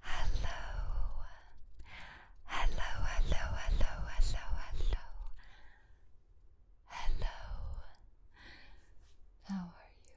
Hello, hello, hello, hello, hello, hello, hello. How are you?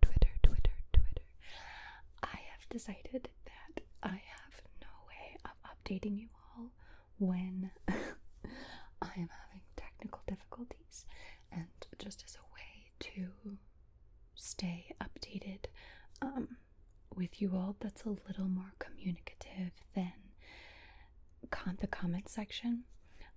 Twitter, Twitter, Twitter. I have decided that I have no way of updating you all when I am having technical difficulties, and just as a way to stay updated um, with you all, that's a little more communicative than con the comment section.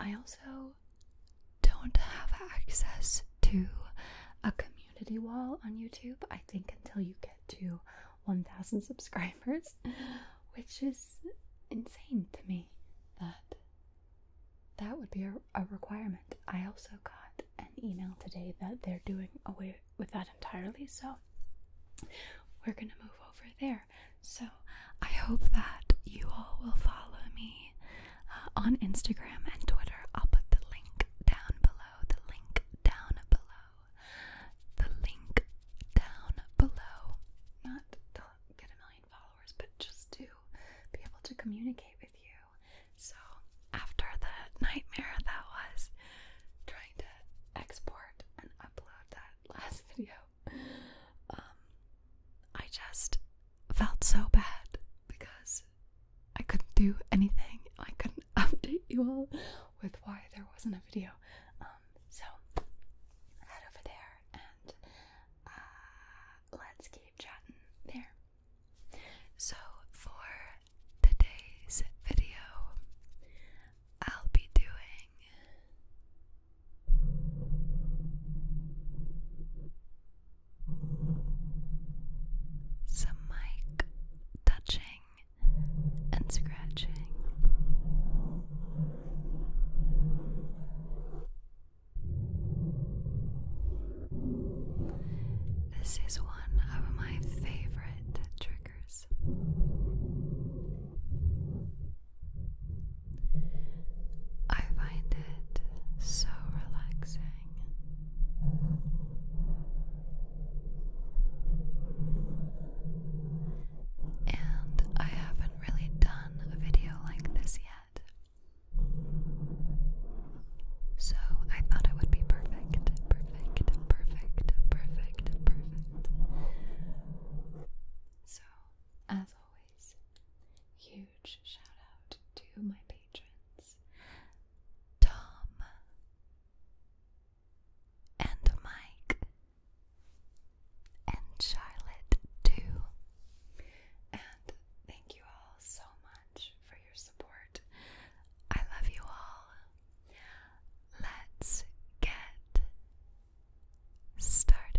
I also don't have access to a community wall on YouTube, I think, until you get to 1,000 subscribers, which is insane to me that that would be a, requirement. I also got an email today that they're doing away with that entirely, so we're gonna move over there. So I hope that you all will follow me on Instagram and Twitter. I'll put the link down below. The link down below. The link down below. Not to get a million followers, but just to be able to communicate with you. So, after the nightmare that was trying to export and upload that last video, um, I just felt so bad because I couldn't do anything. I couldn't update you all with why there wasn't a video. Um, so head over there and uh, let's keep chatting there. So for today's video, I'll be doing. Some mic touching and scratching. This is one of my favorite triggers. I find it so relaxing. And I haven't really done a video like this yet. So I thought it would be perfect, perfect, perfect, perfect, perfect. So, as huge shout out to my patrons Tom and Mike and Charlotte, too. And thank you all so much for your support. I love you all. Let's get started.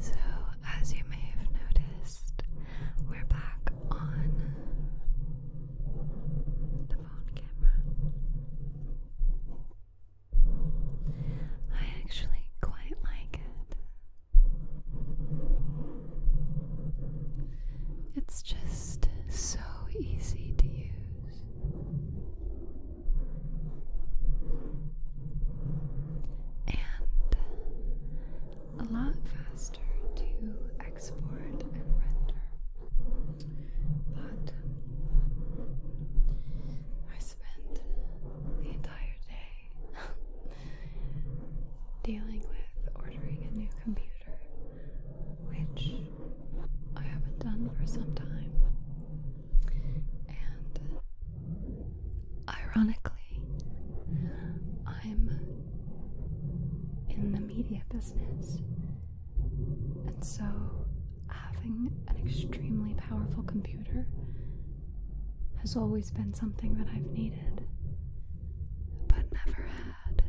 So, as you may have noticed, we're back on the phone camera. I actually quite like it. It's just so easy to use. And a lot faster to export and render. But I spent the entire day dealing with ordering a new computer, which I haven't done for some time. And ironically, I'm in the media business. And so, having an extremely powerful computer has always been something that I've needed, but never had.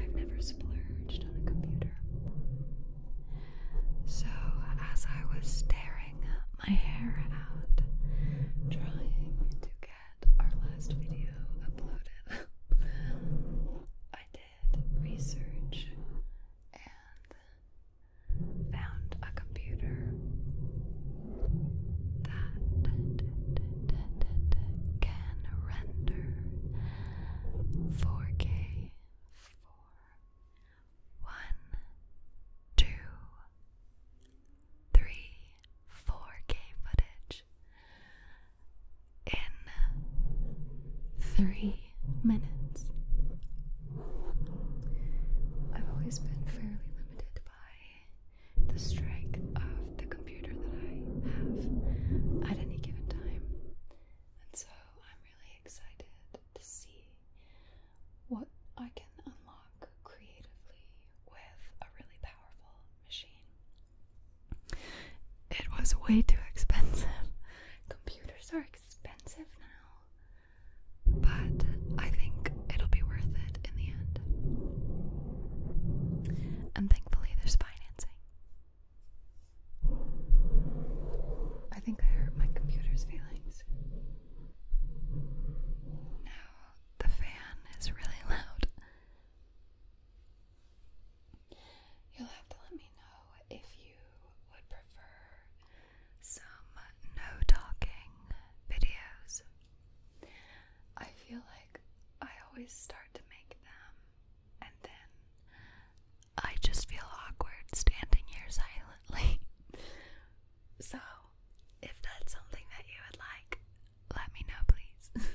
I've never splurged on a computer. So, as I was staring my hair out, trying to get our last video uploaded, I did research and found a computer that can render 4K one, two, 3 4K footage in three minutes. I've always been fairly limited by the strength of the computer that I have at any given time, and so I'm really excited to see what I can unlock creatively with a really powerful machine. It was way too expensive. Computers are expensive now, but I think it'll be worth it in the end. And thankfully, there's financing. I think I hurt my computer's feelings. Now the fan is really loud. You'll have to let me know if you would prefer some no talking videos. I feel like I always start to make them and then I just feel awkward standing here silently. So, if that's something that you would like, let me know, please.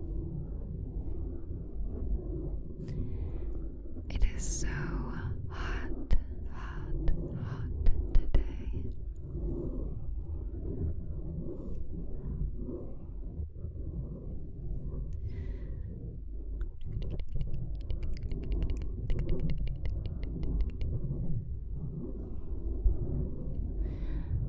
It is so hot, hot, hot today.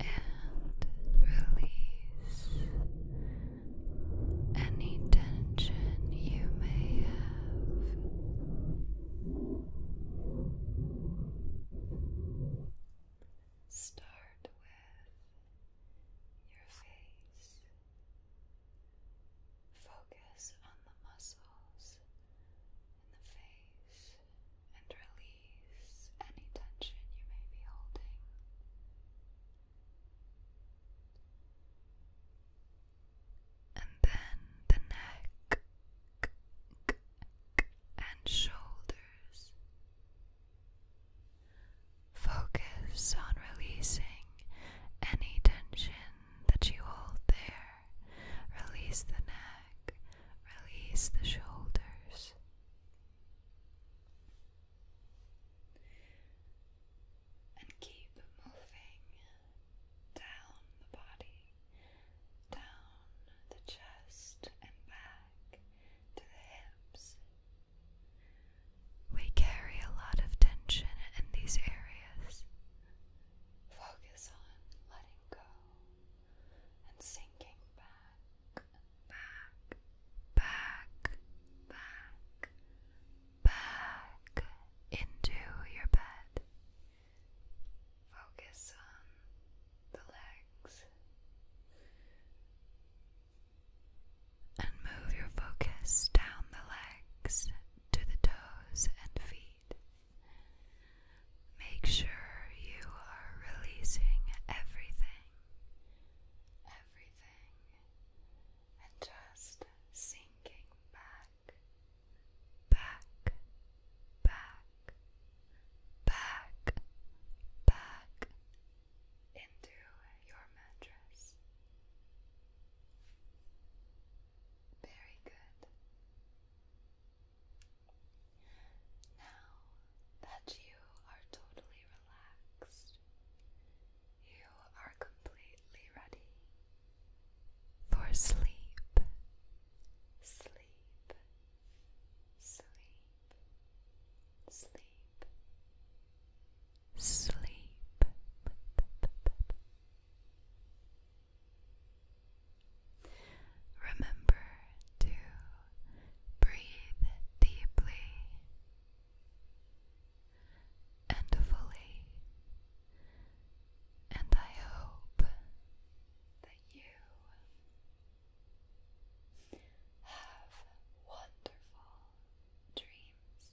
and release any tension you may have. Start with your face. Focus on the muscles in the face and release any tension you may be holding. And then the neck and shoulders. Focus on releasing any tension that you hold there. Release the neck. Release the shoulders. And keep moving down the body, down the chest and back to the hips. We carry a lot of tension in these areas. Focus on letting go and sinking back, back, back, back, back into your bed. Focus on the legs and move your focus down the legs to the toes and feet need. Make sure you are releasing everything, everything, and just sinking back, back, back, back, back into your mattress. Very good. Now that you are totally relaxed, you are completely ready for sleep. Sleep, sleep, sleep, sleep. Remember to breathe deeply and fully, and I hope that you have wonderful dreams.